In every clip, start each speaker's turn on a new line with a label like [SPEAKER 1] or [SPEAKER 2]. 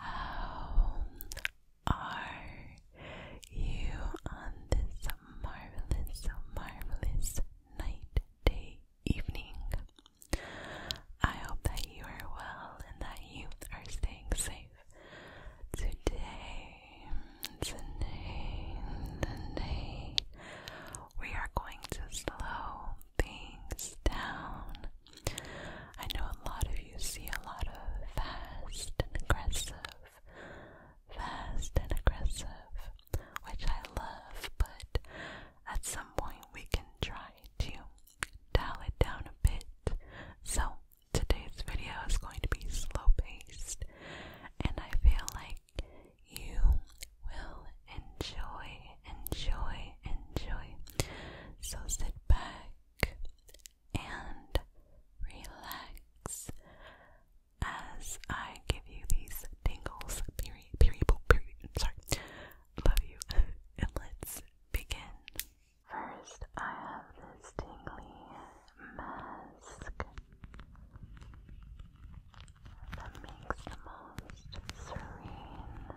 [SPEAKER 1] How are you on this marvelous, marvelous night, day, evening? I hope that you are well and that you are staying safe. Today, today, today, we are going to slow things down I know a lot of you see a lot of fast and aggressive, fast and aggressive, which I love, but at some point we can try to dial it down a bit. So today's video is going to be slow paced, and I feel like you will enjoy, enjoy, enjoy. So sit back and relax as I give you these tingles. Period, period, period. Sorry. Love you. and let's begin. First, I have this tingly mask that makes the most serene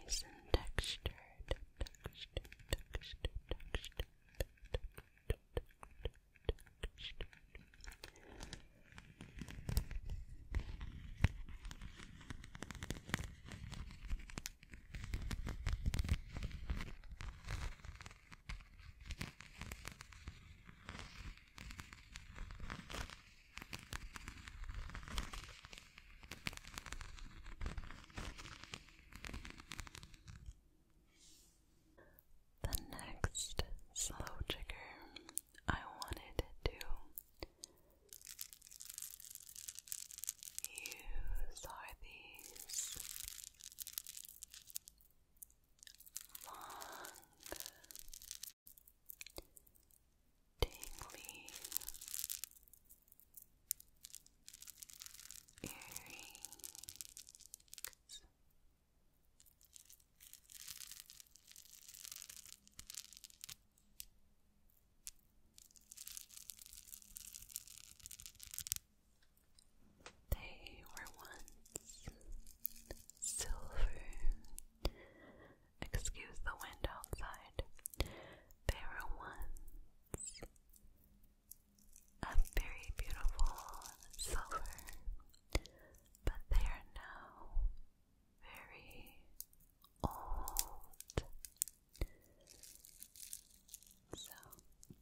[SPEAKER 1] Nice and textured, the next slow trigger I wanted to use are these long, tingly, earrings. Now they were once silver. Excuse the wind outside. They were once a very beautiful silver, but they are now very old. So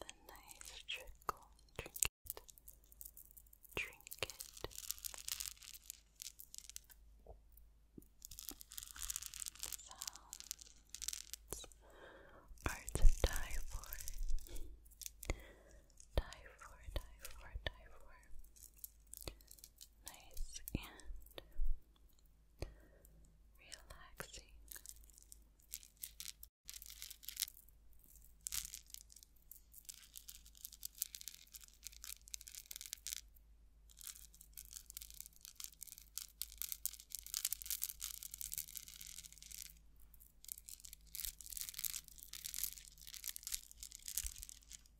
[SPEAKER 1] The nice trickle trinket, trinket. Sounds are to die for, die for, die for, die for nice and relaxing.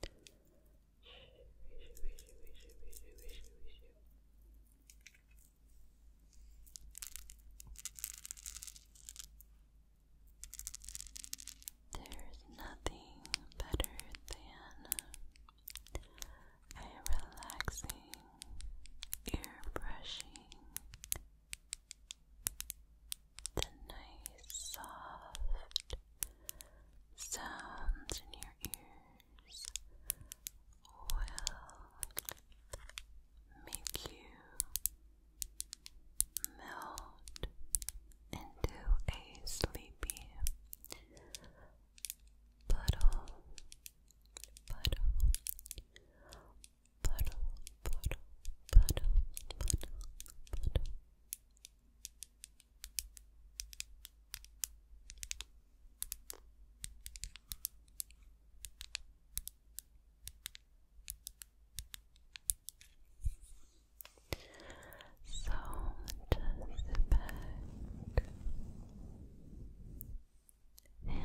[SPEAKER 1] There's nothing better than a relaxing ear brushing the nice soft sounds in your ears will make you melt into a sleepy puddle, puddle, puddle, puddle, puddle, puddle, puddle. So just sit back and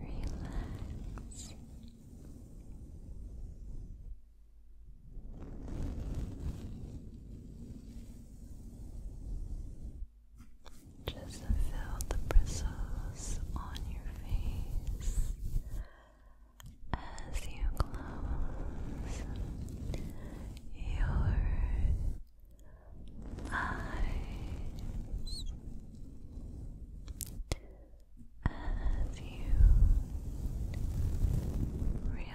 [SPEAKER 1] relax. Just feel the bristles on your face as you close your eyes as you relax. Relax.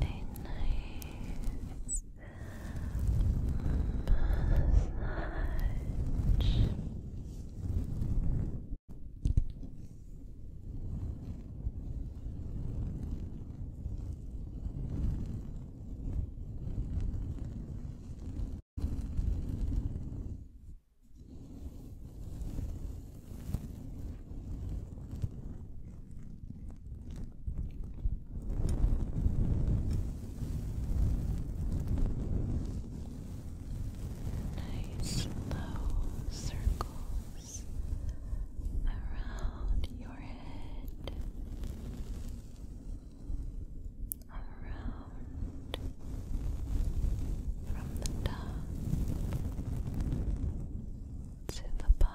[SPEAKER 1] nice massage. Nice low circles around your head, around from the top to the bottom.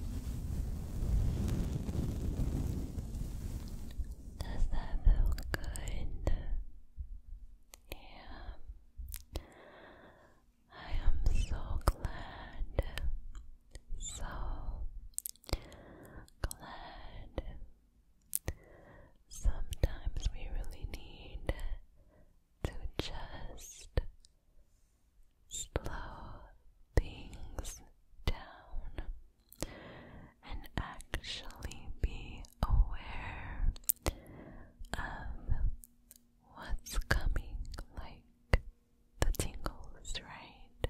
[SPEAKER 1] that feel good? Yeah. I am so glad. So glad. Sometimes we really need to just slow things down and actually be aware of what's coming like the tingles, right?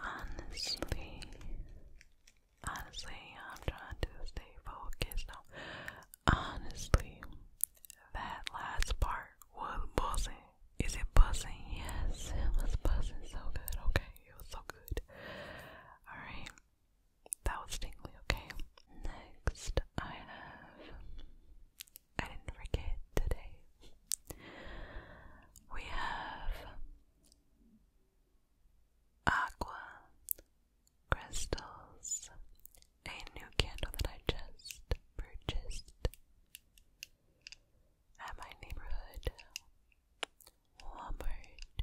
[SPEAKER 1] Honestly, honestly, I'm trying to stay focused now. Honestly, that last part was buzzing. Is it buzzing? Yes, it was buzzing so good. Okay, it was so good. Alright, that was tingly. Okay, next I have I didn't forget today. We have aqua crystals, a new candle that I just purchased at my neighborhood Walmart.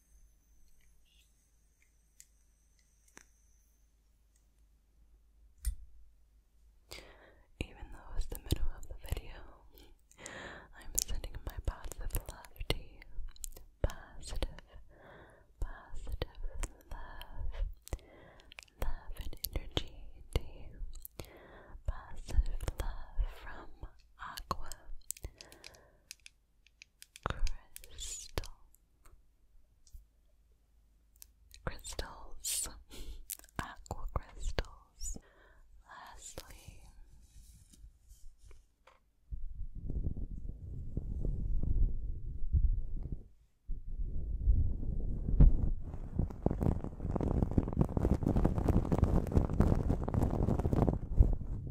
[SPEAKER 1] Even though it's the middle of the video, I'm sending my positive love to you. Positive, positive love. Love and energy to you. Positive love from Aqua crystal crystals, aqua crystals. Lastly,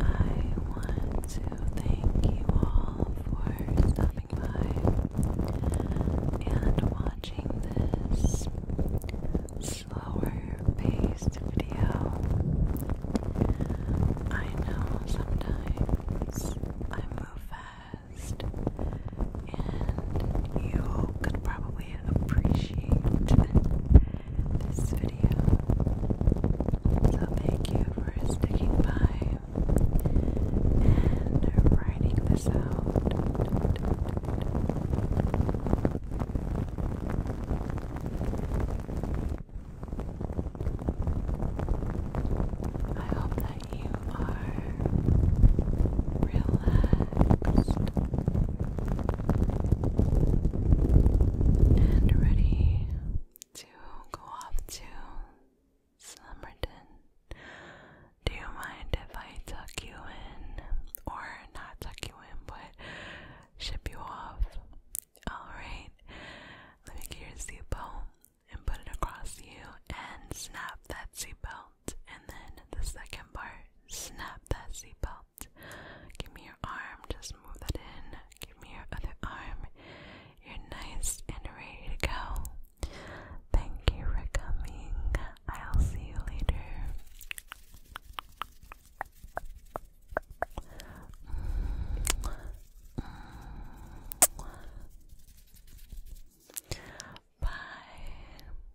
[SPEAKER 1] I want to thank you all for stopping by and watching this slower paced video. I know sometimes I move fast and you all could probably appreciate this video. So thank you for sticking by and writing this out. I hope that you are relaxed and ready to go off to Summerton. Do you mind if I tuck you in? Or not tuck you in, but ship you off. Alright. Let me get your seatbelt and put it across you and snap that seatbelt and then the second part, snap that seatbelt. Give me your arm, just move that in. Give me your other arm. You're nice and ready to go. Thank you for coming. I'll see you later. Bye.